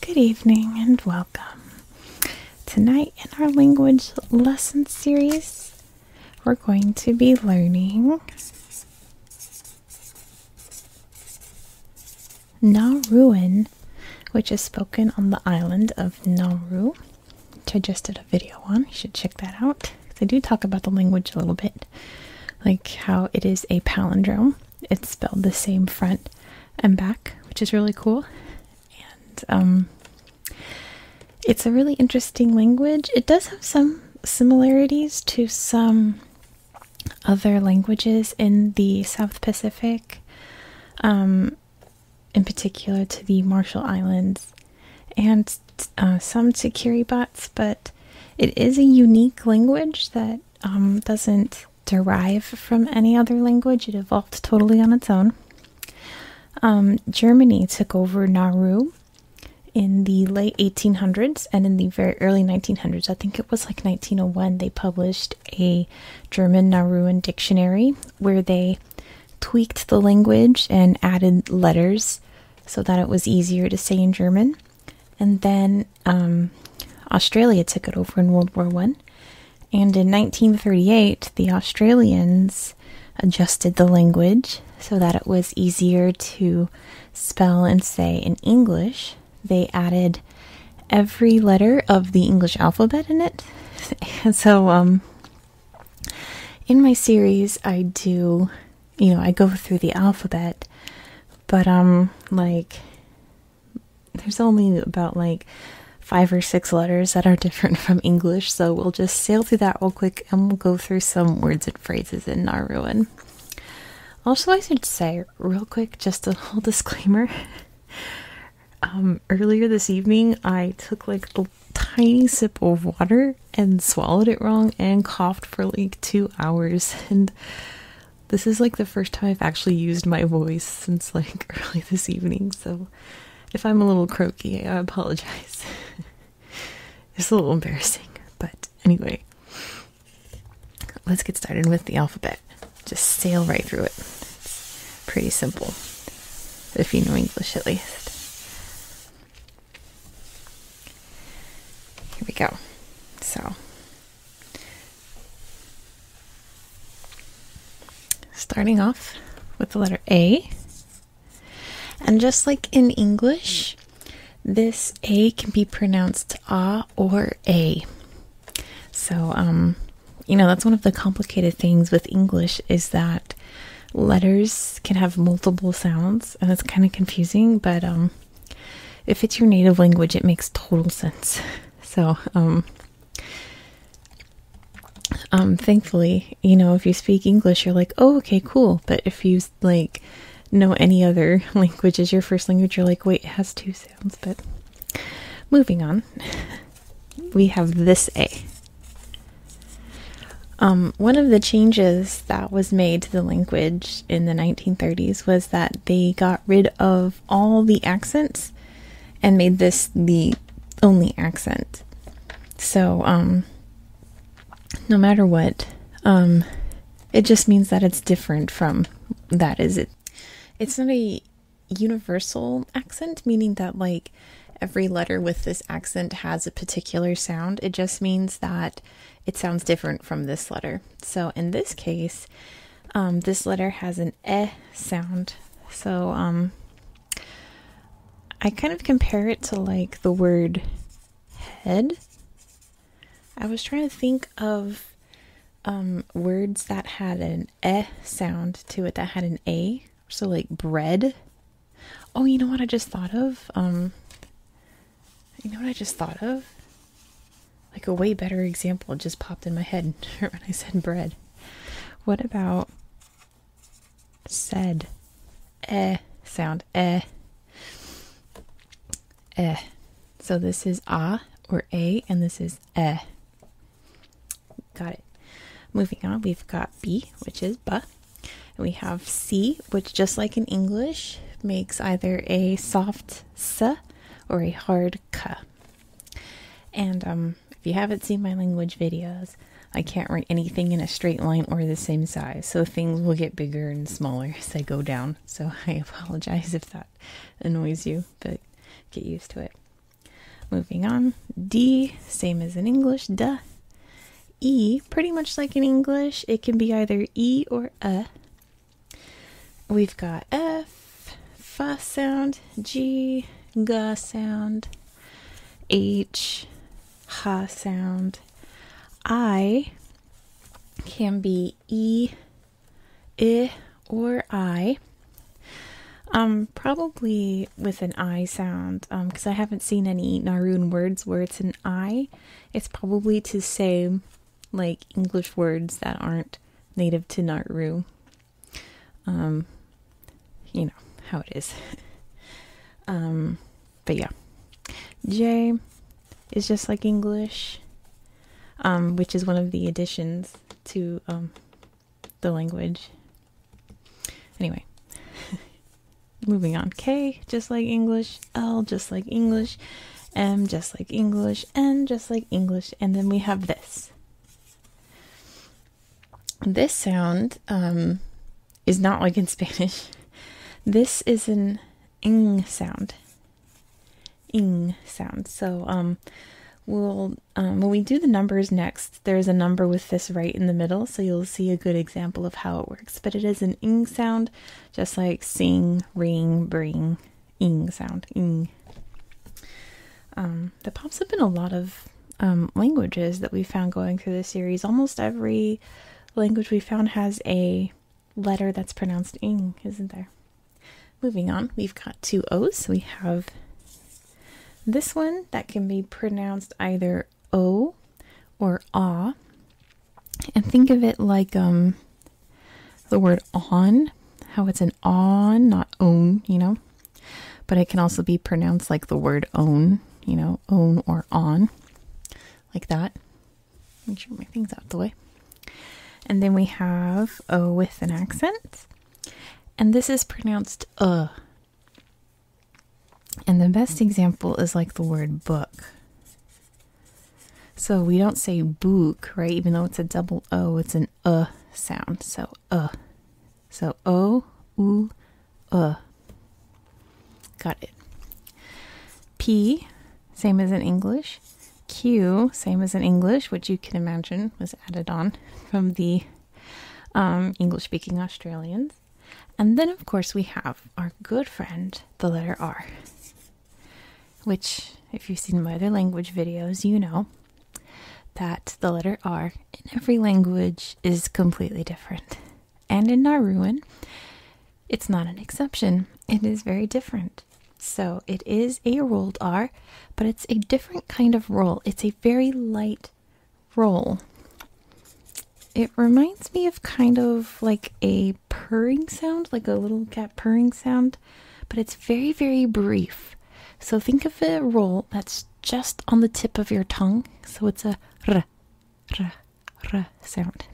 Good evening and welcome. Tonight, in our language lesson series, we're going to be learning Nauruan, which is spoken on the island of Nauru which I just did a video on. You should check that out. They do talk about the language a little bit, like how it is a palindrome. It's spelled the same front and back, which is really cool. And um, it's a really interesting language. It does have some similarities to some other languages in the South Pacific, um, in particular to the Marshall Islands and uh, some Security bots, but it is a unique language that um, doesn't derive from any other language. It evolved totally on its own. Um, Germany took over Nauru in the late 1800s and in the very early 1900s. I think it was like 1901, they published a German Nauruan dictionary where they tweaked the language and added letters so that it was easier to say in German. And then um, Australia took it over in World War One, and in 1938 the Australians adjusted the language so that it was easier to spell and say in English. They added every letter of the English alphabet in it, so um, in my series i do you know i go through the alphabet but um like there's only about like five or six letters that are different from english so we'll just sail through that real quick and we'll go through some words and phrases in Nauruan. also i should say real quick just a little disclaimer um earlier this evening, I took like a tiny sip of water and swallowed it wrong and coughed for like two hours. And this is like the first time I've actually used my voice since like early this evening. So if I'm a little croaky, I apologize. it's a little embarrassing. But anyway, let's get started with the alphabet. Just sail right through it. It's pretty simple. If you know English, at least. Here we go. So, starting off with the letter A. And just like in English, this A can be pronounced ah or A. So, um, you know, that's one of the complicated things with English is that letters can have multiple sounds and it's kind of confusing but um, if it's your native language it makes total sense so um, um, thankfully you know if you speak english you're like oh okay cool but if you like know any other languages, your first language you're like wait it has two sounds but moving on we have this a um, one of the changes that was made to the language in the 1930s was that they got rid of all the accents and made this the only accent. So, um, no matter what, um, it just means that it's different from that is it. It's not a universal accent, meaning that like every letter with this accent has a particular sound. It just means that it sounds different from this letter. So in this case, um, this letter has an "e" sound. So um, I kind of compare it to like the word head. I was trying to think of um, words that had an "e" sound to it that had an a so like bread. Oh, you know what I just thought of? Um You know what I just thought of? Like a way better example just popped in my head when I said bread. What about said eh sound eh eh so this is ah or a and this is eh Got it. Moving on, we've got B, which is ba. And we have C, which just like in English, makes either a soft sa or a hard k. And um, if you haven't seen my language videos, I can't write anything in a straight line or the same size, so things will get bigger and smaller as I go down. So I apologize if that annoys you, but get used to it. Moving on, D, same as in English, D. E pretty much like in English, it can be either E or a. We've got F, fa sound, G, ga sound, H, ha sound. I can be E, I, or I. Um, probably with an I sound, um, because I haven't seen any Narun words where it's an I. It's probably to say, like, English words that aren't native to Nauru. Um, you know how it is. um, but yeah. J is just like English, um, which is one of the additions to um, the language. Anyway, moving on. K, just like English. L, just like English. M, just like English. N, just like English. And then we have this. This sound um, is not like in Spanish. This is an ing sound. Ing sound. So um, we'll um, when we do the numbers next, there's a number with this right in the middle, so you'll see a good example of how it works. But it is an ing sound, just like sing, ring, bring, ing sound, ing. Um, that pops up in a lot of um, languages that we found going through the series. Almost every language we found has a letter that's pronounced ing, isn't there? Moving on, we've got two O's. We have this one that can be pronounced either O or ah. And think of it like um the word on, how it's an on, not own, you know. But it can also be pronounced like the word own, you know, own or on, like that. Make sure my thing's out the way. And then we have O with an accent. And this is pronounced uh. And the best example is like the word book. So we don't say book, right? Even though it's a double O, it's an uh sound. So uh. So o, u, uh. Got it. P, same as in English. Q, same as in English, which you can imagine was added on from the um, English speaking Australians. And then, of course, we have our good friend, the letter R, which, if you've seen my other language videos, you know that the letter R in every language is completely different. And in Nauruan, it's not an exception, it is very different. So it is a rolled R, but it's a different kind of roll. It's a very light roll. It reminds me of kind of like a purring sound, like a little cat purring sound, but it's very, very brief. So think of a roll that's just on the tip of your tongue. So it's a r, r, r sound.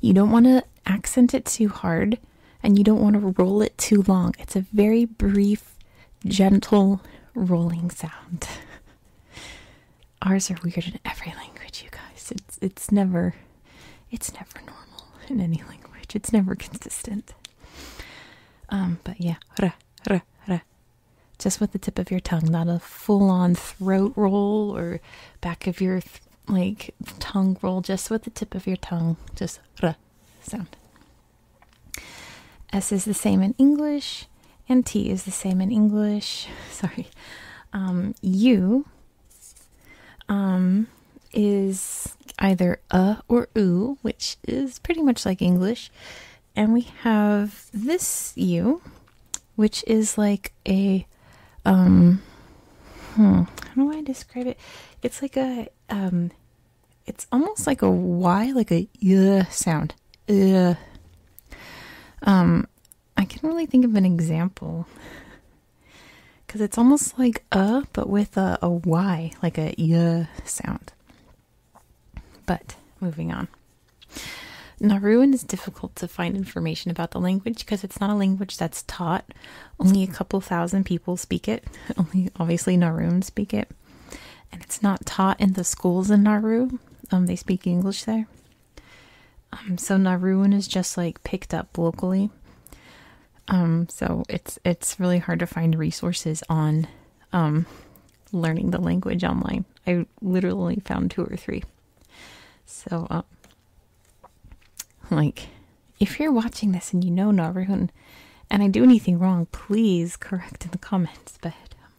You don't want to accent it too hard and you don't want to roll it too long. It's a very brief, gentle rolling sound. Ours are weird in every language, you guys. It's it's never it's never normal in any language. It's never consistent. Um, but yeah, just with the tip of your tongue, not a full-on throat roll or back of your like tongue roll. Just with the tip of your tongue, just sound. S is the same in English, and T is the same in English. Sorry. Um, u um, is either uh or oo, which is pretty much like English. And we have this U, which is like a, um, hmm, how do I describe it? It's like a um, it's almost like a y, like a uh sound. Uh. Um, I can't really think of an example because it's almost like a but with a, a y, like a y sound. But moving on. Nauruan is difficult to find information about the language because it's not a language that's taught only a couple thousand people speak it. Only, obviously, Nauruans speak it. And it's not taught in the schools in Nauru. Um, they speak English there. Um, so Nauruan is just like picked up locally. Um, so it's it's really hard to find resources on um, learning the language online. I literally found two or three. So, uh, like, if you're watching this and you know Narun and I do anything wrong, please correct in the comments. But um,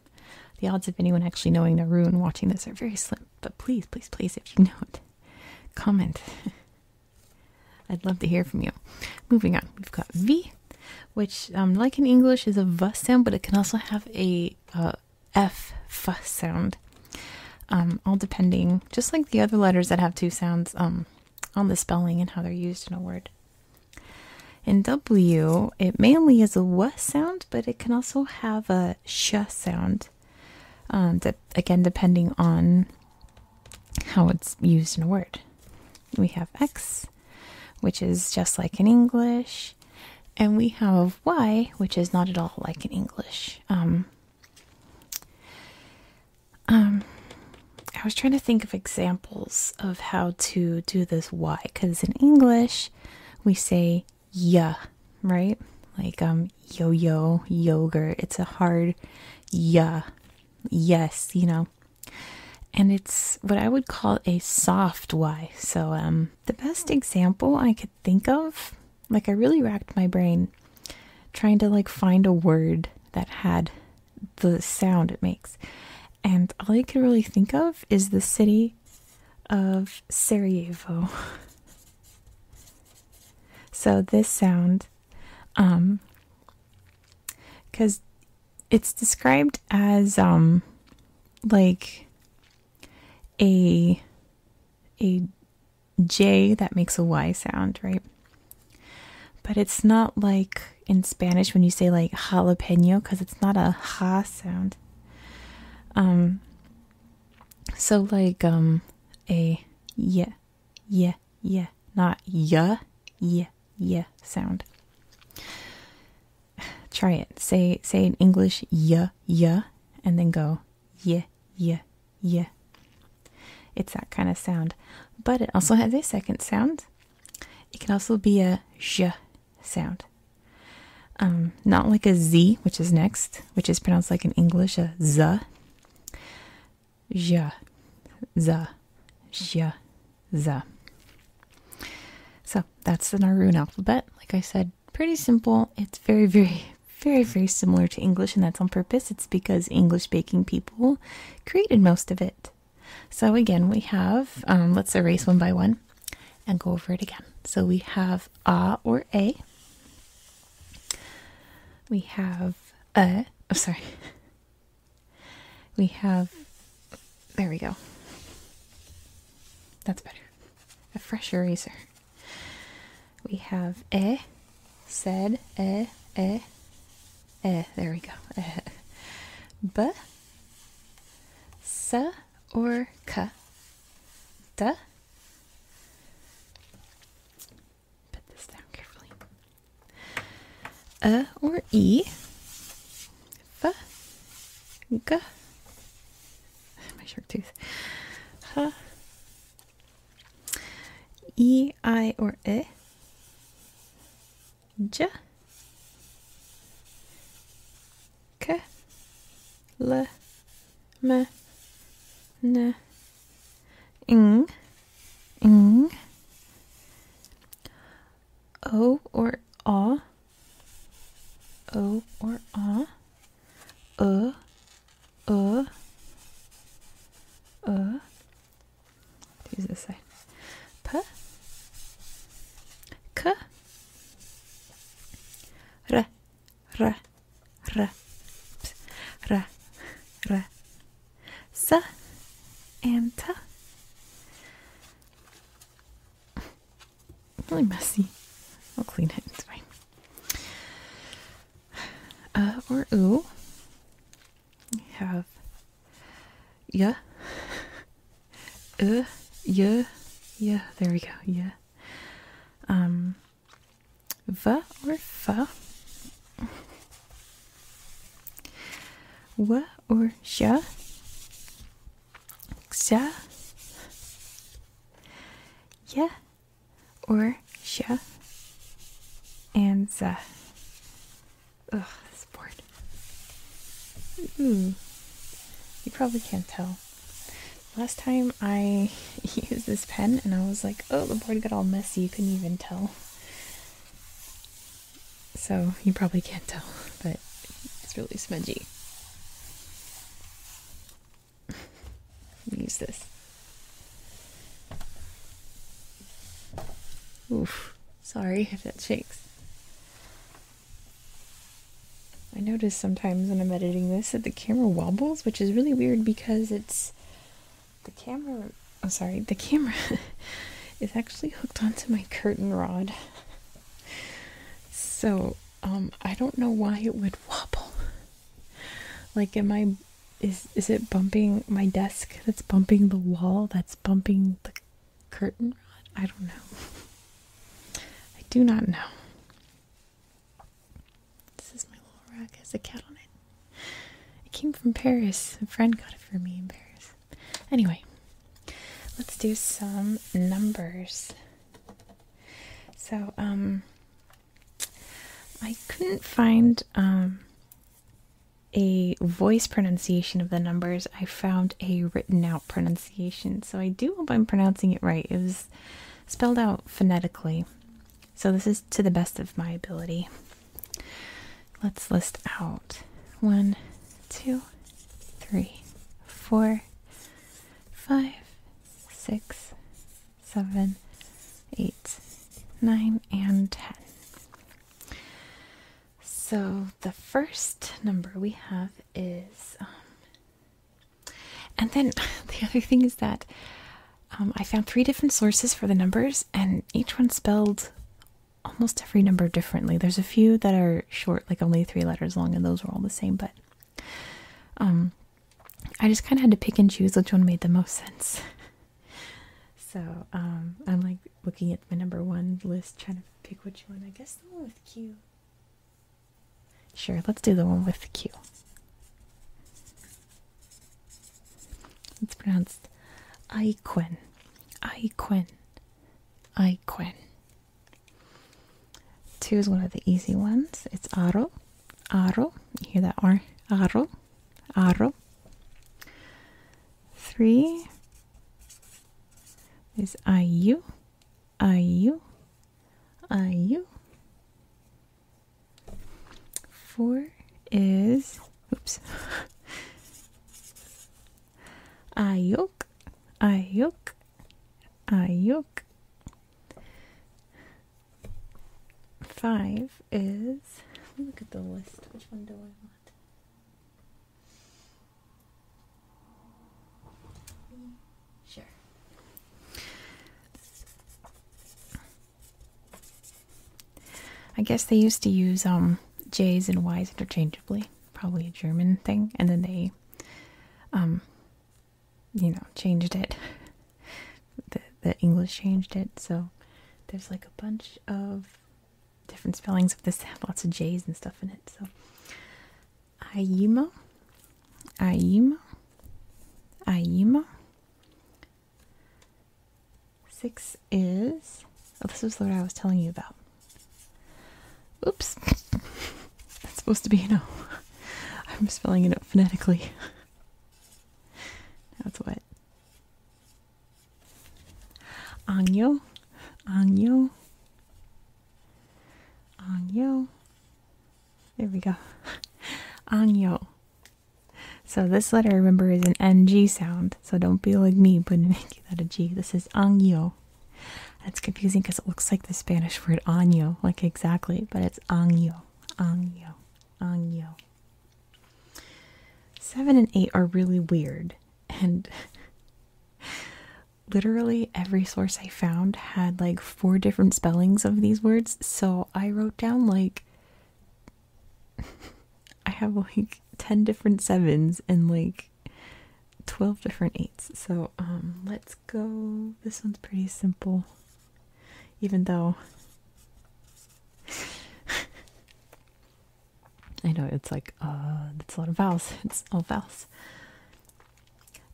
the odds of anyone actually knowing Narun watching this are very slim. But please, please, please, if you know it, comment. I'd love to hear from you. Moving on, we've got V, which, um, like in English, is a V sound, but it can also have a uh, sound. Um, all depending, just like the other letters that have two sounds, on the spelling and how they're used in a word. In W, it mainly is a w sound, but it can also have a sh sound. Um, again, depending on how it's used in a word. We have X, which is just like in English, and we have Y, which is not at all like in English. Um, um, I was trying to think of examples of how to do this Y because in English we say yeah, right? Like um yo yo yogurt. It's a hard yeah, yes, you know. And it's what I would call a soft Y. So um the best hmm. example I could think of like I really racked my brain trying to like find a word that had the sound it makes. And all I could really think of is the city of Sarajevo. so this sound um cuz it's described as um like a a J that makes a Y sound, right? But it's not like in Spanish when you say like jalapeno because it's not a ha sound. Um, so like um a yeah, yeah, yeah, not yeah, yeah, yeah sound. Try it. Say say in English yeah, yeah, and then go yeah, yeah, yeah. It's that kind of sound. But it also has a second sound. It can also be a zh sound. Um, not like a z, which is next, which is pronounced like in English, a z. Zh, z, zh, z. So that's the Nauruan alphabet. Like I said, pretty simple. It's very, very, very, very similar to English, and that's on purpose. It's because English baking people created most of it. So, again, we have, um, let's erase one by one and go over it again. So, we have a or a. We have a. Oh, sorry. We have, there we go. That's better. A fresh eraser we have e, said, e e, eh, there we go, B, sa or k, d, put this down carefully, uh or e, f, g, my shark tooth, h, E, I, or E. J. K. L. M. N. Ng. Ng. O or A. O or A ö, ö, ö. Use this side. P, k, r, r, r, ps, r, r, s, and t. Really messy. I'll clean it. It's fine. Uh, or o. have yeah, uh, yeah, yeah. There we go. Yeah. Um, va or fa. Wa or sha. Xa. Yeah or sh, and za. Ugh, this board. Ooh, hmm. you probably can't tell. Last time I used this pen and I was like, oh, the board got all messy, you couldn't even tell. So, you probably can't tell, but it's really smudgy. Use this. Oof. Sorry if that shakes. I notice sometimes when I'm editing this that the camera wobbles, which is really weird because it's the camera. Oh, sorry, the camera is actually hooked onto my curtain rod. So um, I don't know why it would wobble like am i is is it bumping my desk that's bumping the wall that's bumping the curtain rod i don't know i do not know this is my little rug has a cat on it it came from paris a friend got it for me in paris anyway let's do some numbers so um I couldn't find um, a voice pronunciation of the numbers. I found a written out pronunciation, so I do hope I'm pronouncing it right. It was spelled out phonetically, so this is to the best of my ability. Let's list out one, two, three, four, five, six, seven, eight, nine, and ten. So the first number we have is, um, and then the other thing is that um, I found three different sources for the numbers, and each one spelled almost every number differently. There's a few that are short, like only three letters long, and those were all the same, but um, I just kind of had to pick and choose which one made the most sense. so um, I'm like looking at my number one list, trying to pick which one. I guess the one with Q. Sure, let's do the one with Q. It's pronounced Iquen. Iquen. Iquen. Two is one of the easy ones. It's aro, aro. You hear that R? Aro, aro. Three is ayu, ayu, ayu. Four is oops. Ayuk, ayuk, ayuk. Five is. Look at the list. Which one do I want? Sure. I guess they used to use um, J's and Y's interchangeably, probably a German thing, and then they um, you know, changed it. the the English changed it, so there's like a bunch of different spellings of this. have lots of J's and stuff in it. So Ayumo, Ayumo, Ayumo. Six is. Oh, this is what I was telling you about. Oops. That's supposed to be an i I'm spelling it out phonetically. now it's wet. Angyo. Angyo. Angyo. There we go. Angyo. So this letter, remember, is an NG sound. So don't be like me, but making that a G. This is Angyo. That's confusing because it looks like the Spanish word año, like exactly, but it's año, año, año. Seven and eight are really weird, and literally every source I found had like four different spellings of these words, so I wrote down like I have like 10 different sevens and like 12 different eights. So um, let's go. This one's pretty simple, even though I know it's like, uh, it's a lot of vowels. It's all vowels.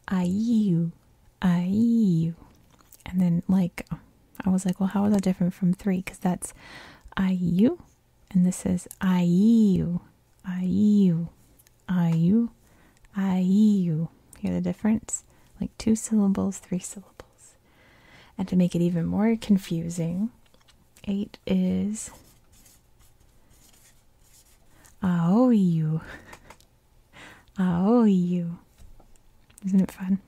I you, I And then, like, I was like, well, how is that different from three? Because that's I and this is I Aiu, aiu, aiu. Hear the difference? Like two syllables, three syllables. And to make it even more confusing, eight is aoiu, aoiu. Isn't it fun?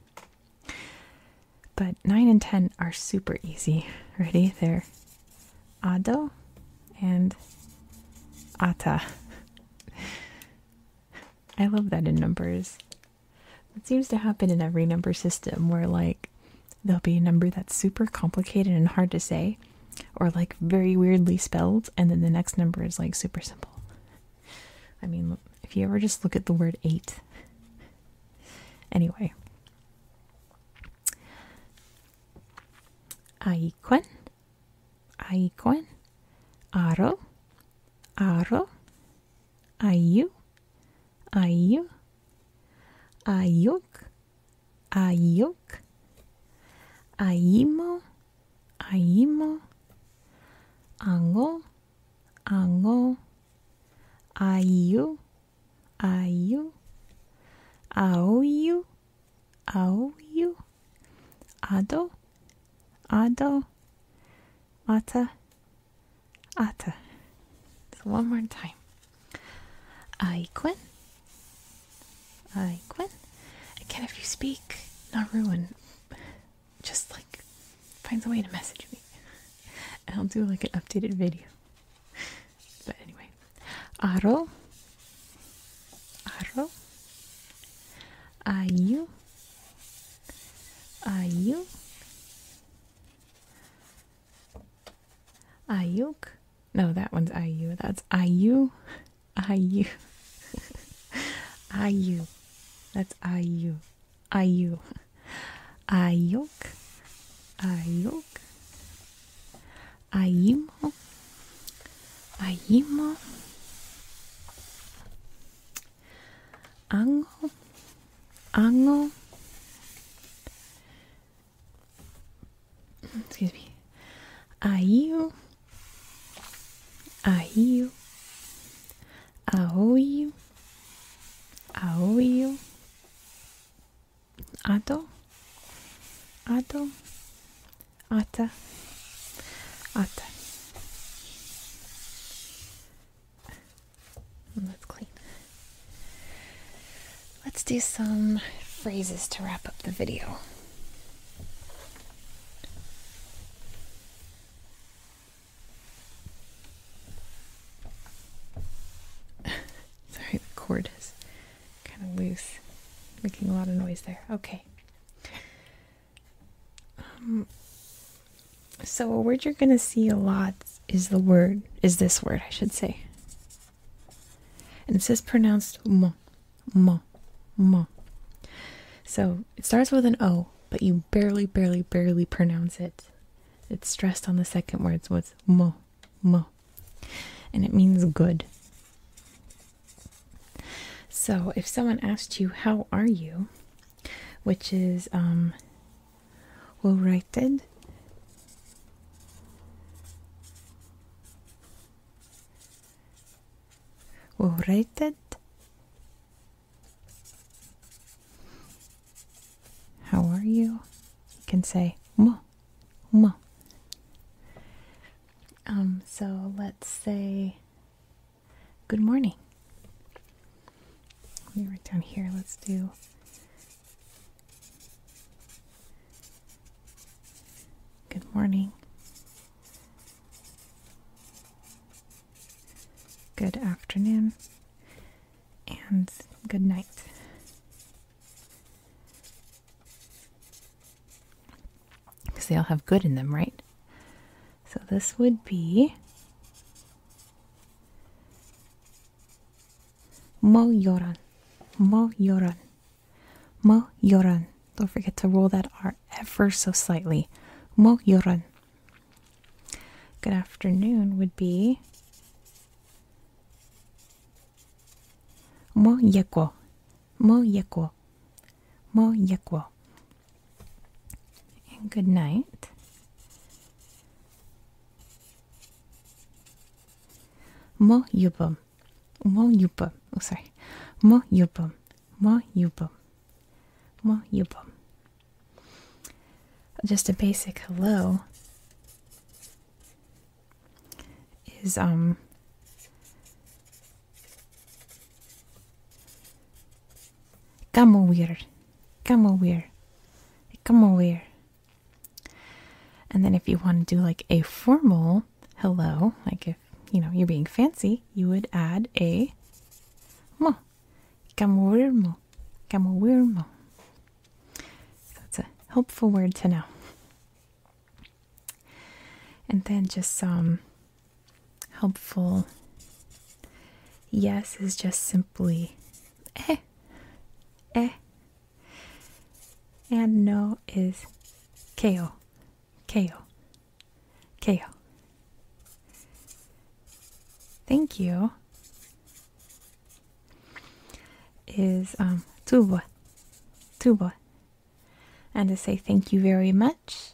But 9 and 10 are super easy. Ready? They're Ado and Ata. I love that in numbers. It seems to happen in every number system where, like, there'll be a number that's super complicated and hard to say, or like very weirdly spelled, and then the next number is like super simple. I mean, if you ever just look at the word eight. Anyway. Aikwen Aikon, Aro, Aro, Ayu, Ayu, Ayuk, Ayuk, Aimo, Aimo, Ango, Ango, Ayu, Ayu, Aoyu, Aoyu, Ado, Ado, Ata, Ata. So one more time. Aiquen, Aiquen. Again, if you speak not ruin. just like finds a way to message me. And I'll do like an updated video. But anyway, Aro, Aro, Ayu, Ayu, Ayuk. No, that one's Ayu. That's Ayu, Ayu, Ayu. That's Ayu, Ayu, Ayuk, Ayuk. Aimo, Aimo, Ango, Ango, excuse me, Aiu, Aiu, Aoiu, Aoiu, Ado, Ado, Ata, Ata. Let's clean. Let's do some phrases to wrap up the video. Sorry, the cord is kind of loose, making a lot of noise there. Okay. Um, so a word you're going to see a lot is the word, is this word, I should say. And it says pronounced mo, mo, mo. So it starts with an O, but you barely, barely, barely pronounce it. It's stressed on the second word, so it's mo, m, and it means good. So if someone asked you, How are you? which is, um, well rated. Well rated. How are you? You can say, Mo. Um, so let's say good morning. Let me write down here. Let's do good morning. Good afternoon and good night. Because they all have good in them, right? So this would be Mo Yoran. Mo Yoran. Mo Yoran. Don't forget to roll that R ever so slightly. Mo Yoran. Good afternoon would be Mo mo Mojeko, mo mojeko. And good night. Mo Mojubum, mojubum. Oh, sorry. Mo mo Mojubum, mo mojubum. Just a basic hello is um come over here come over come over and then if you want to do like a formal hello like if you know you're being fancy you would add a mo come over mo come over mo so it's a helpful word to know. And then just some helpful yes is just simply eh, eh. And no is keo, keo, keo. Thank you is tuba, um, tuba, and to say thank you very much.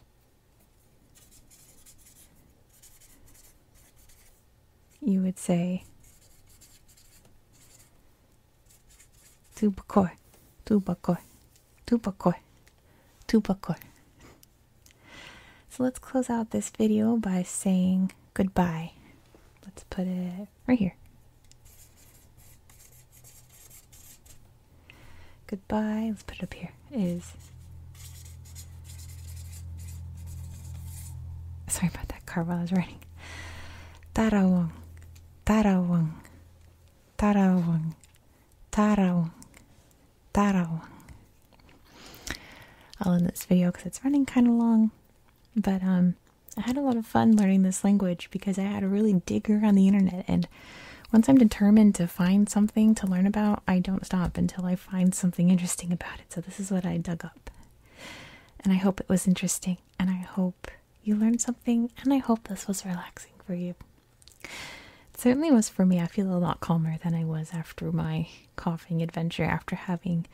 You would say tubakor, tubakor, tubakor, tubakor. So let's close out this video by saying goodbye. Let's put it right here. Goodbye, let's put it up here, is. Sorry about that car while I was writing. Tarawang, tarawang, tarawang, tarawang, tarawang. I'll end this video because it's running kind of long, but um, I had a lot of fun learning this language because I had a really digger on the internet and once I'm determined to find something to learn about, I don't stop until I find something interesting about it. So this is what I dug up. And I hope it was interesting and I hope you learned something and I hope this was relaxing for you. It certainly was for me. I feel a lot calmer than I was after my coughing adventure after having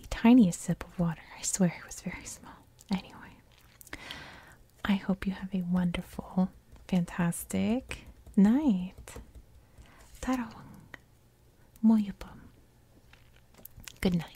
the tiniest sip of water. I swear it was very small. Anyway, I hope you have a wonderful, fantastic night. Tarawang. Moyupam. Good night.